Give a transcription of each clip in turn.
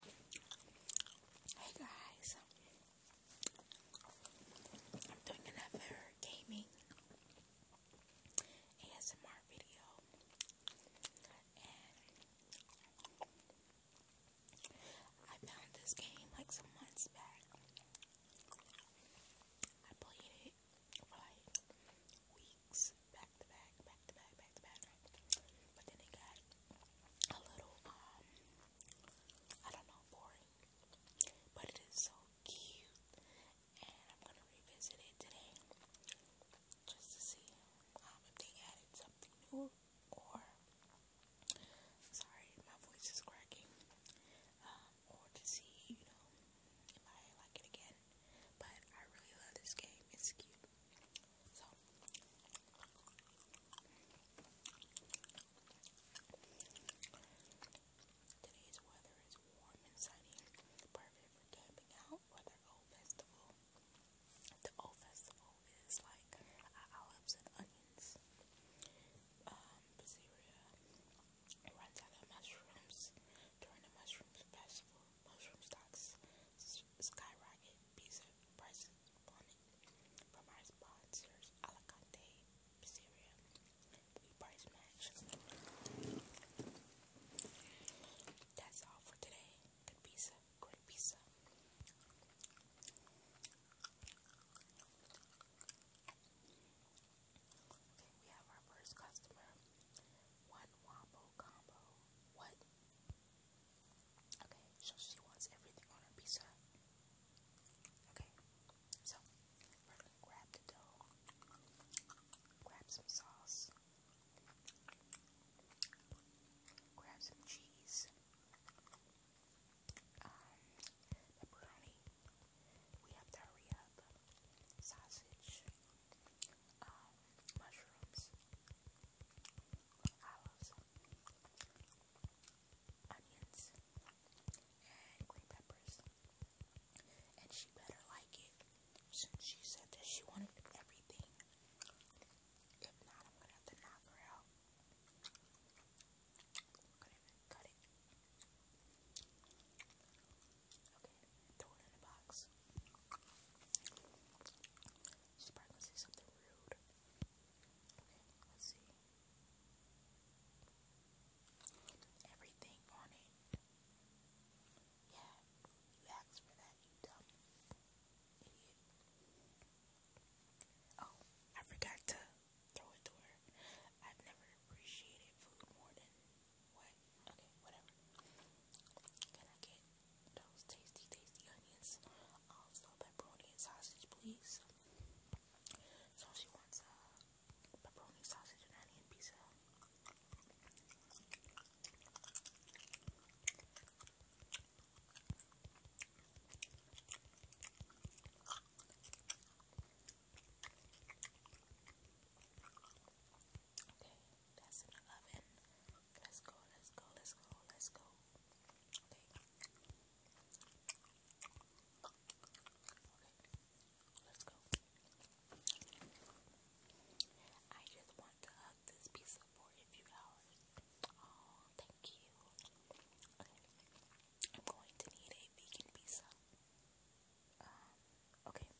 Hey guys, I'm doing another gaming ASMR video, I found this game like some months back. I played it for like weeks back to back, back to back, back to back, but then it got a little um I don't know boring, but it is so cute, and I'm gonna revisit it today just to see um, if they added something new or sorry my voice is cracking um, or to see you know if I like it again. But I really love this game. It's cute. So today's weather is warm and sunny, perfect for camping out or the festival. The old festival is like uh, olives and onions, um, basilia, runs out of mushrooms during the mushroom festival. Mushroom stocks skyrocket, pizza prices Bonnet from our sponsors Alicante Pizzeria, Blue Price Match. That's all for today. Good pizza, great pizza. Okay, we have our first customer. One wombo combo. What? Okay, so she wants everything on her pizza. Okay, so we're gonna grab the dough, grab some sauce, grab some cheese, um, pepperoni. We have to hurry up. Sausage, um, mushrooms, olives, onions, and green peppers. And she better like it since she said that she wanted everything. If not, I'm gonna have to knock her out. i it. Okay, throw it in the box. She's probably going something rude. Okay, let's see. Everything on Yeah, you asked for that, you dumb idiot. Oh, I forgot to throw it to her. I've never appreciated food more than what? Okay, whatever. Can I get those tasty, tasty onions. Also, um, pepperoni and sausage, please. So she wants a pepperoni, sausage, and onion pizza. Okay. Let's go, let's go, let's go, let's go. Okay. let's go. I just want to hug this pizza for a few hours. Oh, thank you. I'm going to need a vegan pizza. Um, okay.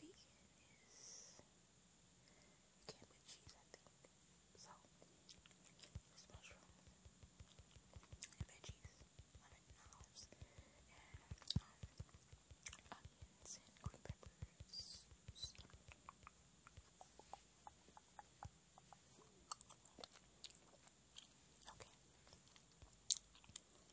Vegan is it came with cheese, I think. So, this and veggies, lemon knives, and um, Okay. There you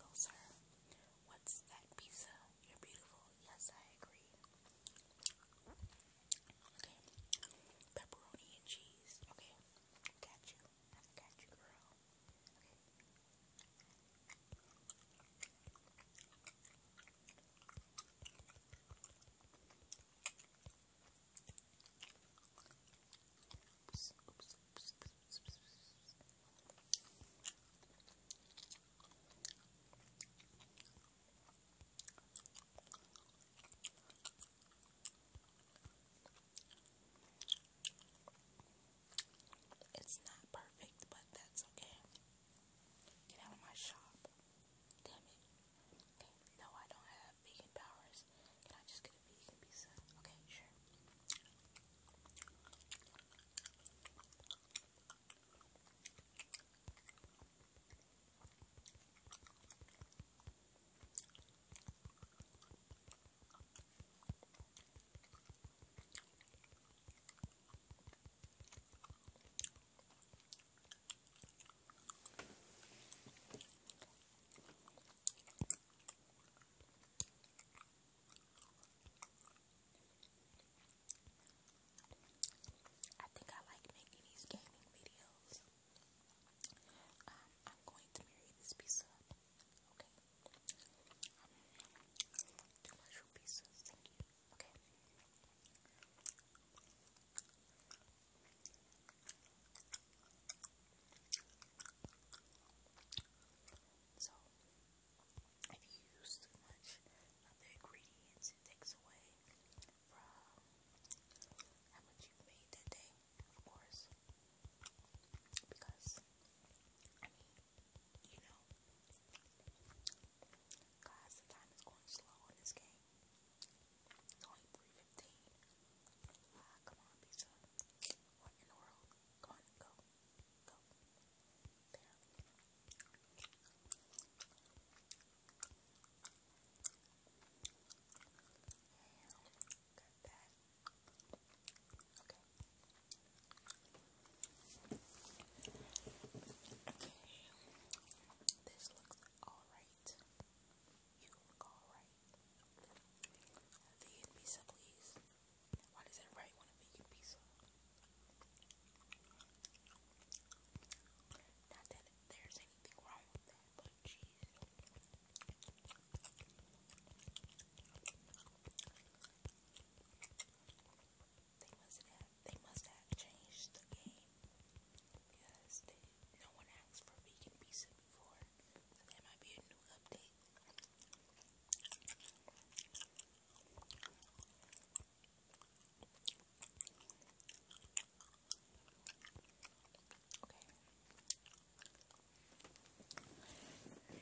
go, sir. What's that pizza? You're beautiful. Yes, I agree. Okay. Pepperoni and cheese. Okay. Got you. got you, girl. Okay. Oops, oops, It's not perfect, but that's okay. Get out of my shop. Damn it. No, I don't have vegan powers. Can I just get a vegan pizza? Okay, sure. I think I like making these gaming videos. Um, I'm going to marry this pizza. Okay. too much pieces. Thank you. Okay. So, if you use too much of ingredients, it takes away from how much you made that day, of course. Because, I mean, you know, guys, the time is going slow in this game. It's only three fifteen. Ah, come on, pizza. What in the world? Come go, go. There. And Okay. Okay. This looks alright right. pizza, please. Why does everybody want a vegan pizza? Not that there's anything wrong with that, but jeez. They must have they must have changed the game because no one asked for vegan pizza before, that might be a new update. Okay.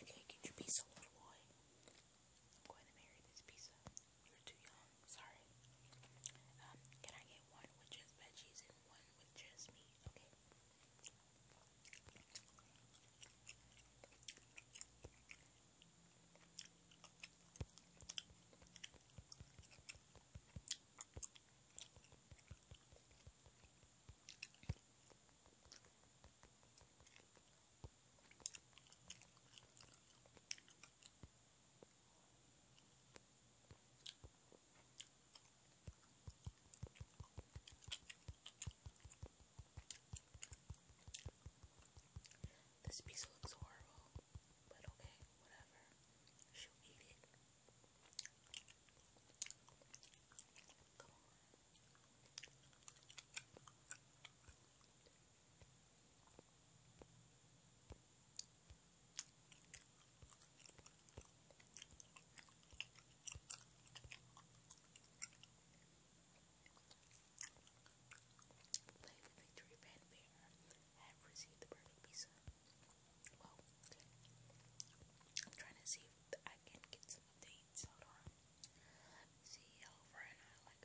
Okay, get your pizza, little boy. I'm going to marry this pizza. You're too young. Sorry. Um, can I get one with just veggies and one with just meat? Okay. This piece looks horrible, but okay, whatever. She'll eat it. Play Victory Pan Bear have received the birthday pizza. Well, I'm trying to see if I can get some updates. see, Hello Friend, I like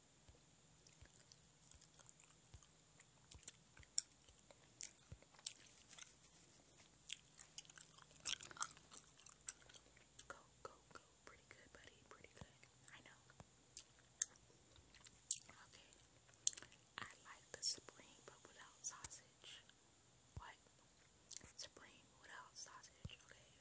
Go, go, go. Pretty good, buddy. Pretty good. I know. Okay. I like the spring, but without sausage. What? Spring without sausage. Okay.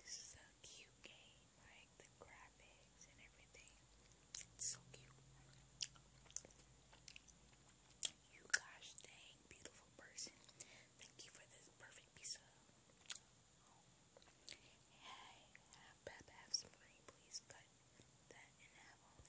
This is a cute game, like the graphics and everything. It's so cute. You gosh dang beautiful person. Thank you for this perfect piece of Hey, have Pep have some money, please cut that in half only.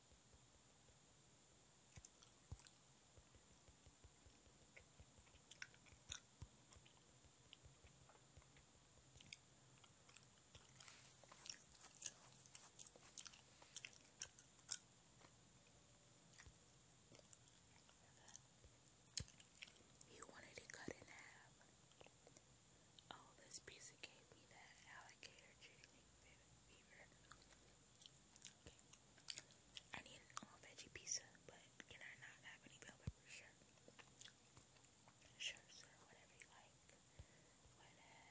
He wanted it cut in half. Oh, this pizza gave me that alligator jiggling fever. Okay. I need an all veggie pizza, but can I not have any bell peppers? Sure. Sure, sir. Whatever you like. Whatever you like.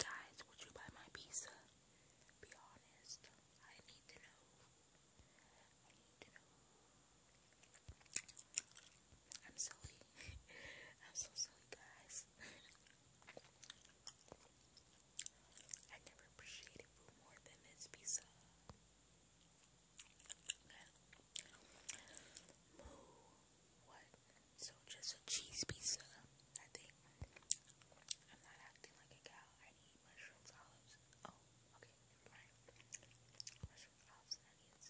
Guys, would you buy my pizza? Be honest. I need to know. I need to know. I'm silly. I'm so silly, guys. I never appreciated food more than this pizza. Okay. What? So just a cheese pizza, I think. I'm not acting like a cow. I need mushrooms, olives. Oh, okay, never Mushrooms, olives, onions.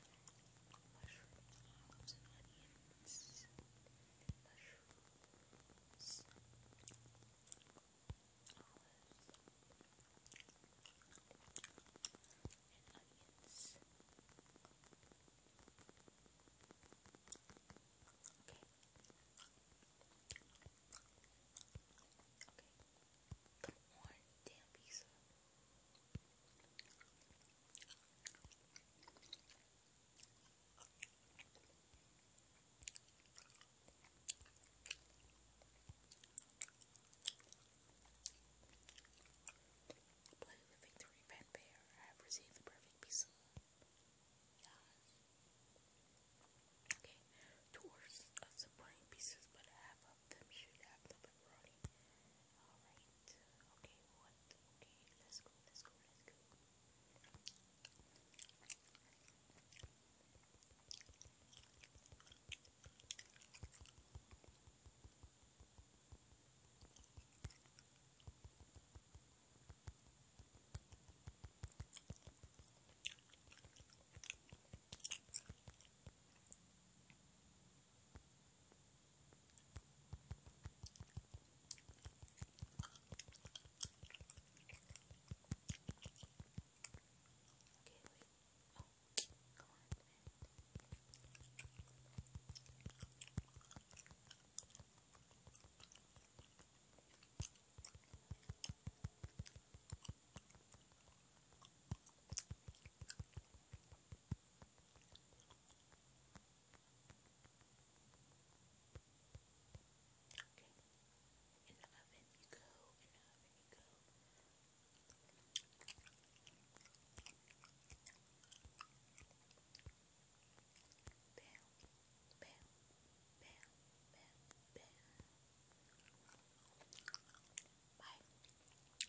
Mushrooms, olives, onions. Mushrooms, olives and onions. Okay. Okay. Come on, damn pizza. Play the Victory Fanfare. I have received the perfect piece Okay, two orders of supreme pieces, but half of them should have the pepperoni. Alright, okay, what? Okay, let's go, let's go, Okay, wait. Oh, Okay. In the oven you go, in the oven you go. Bye.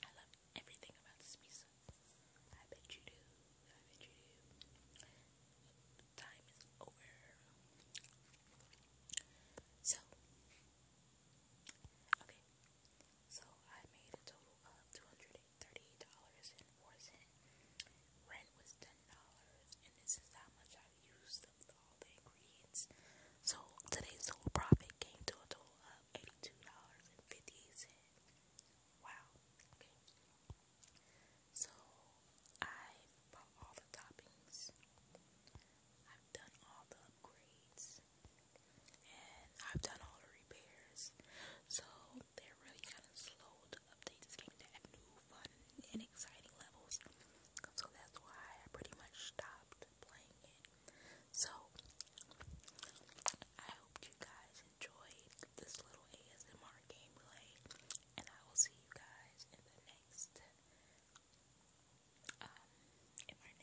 I love everything about this pizza. I bet you do. I bet you do. Time is over. So, okay. So I made a total of $238.04. Rent was $10, and this is how much I used of all the ingredients. So today's total profit came to a total of $82.58. Wow. Okay. So I bought all the toppings. I've done all the upgrades and I've done all the repairs, so they're really kind of slow to update this game to add new fun and exciting levels, so that's why I pretty much stopped playing it. So, I hope you guys enjoyed this little ASMR gameplay, and I will see you guys in the next, um,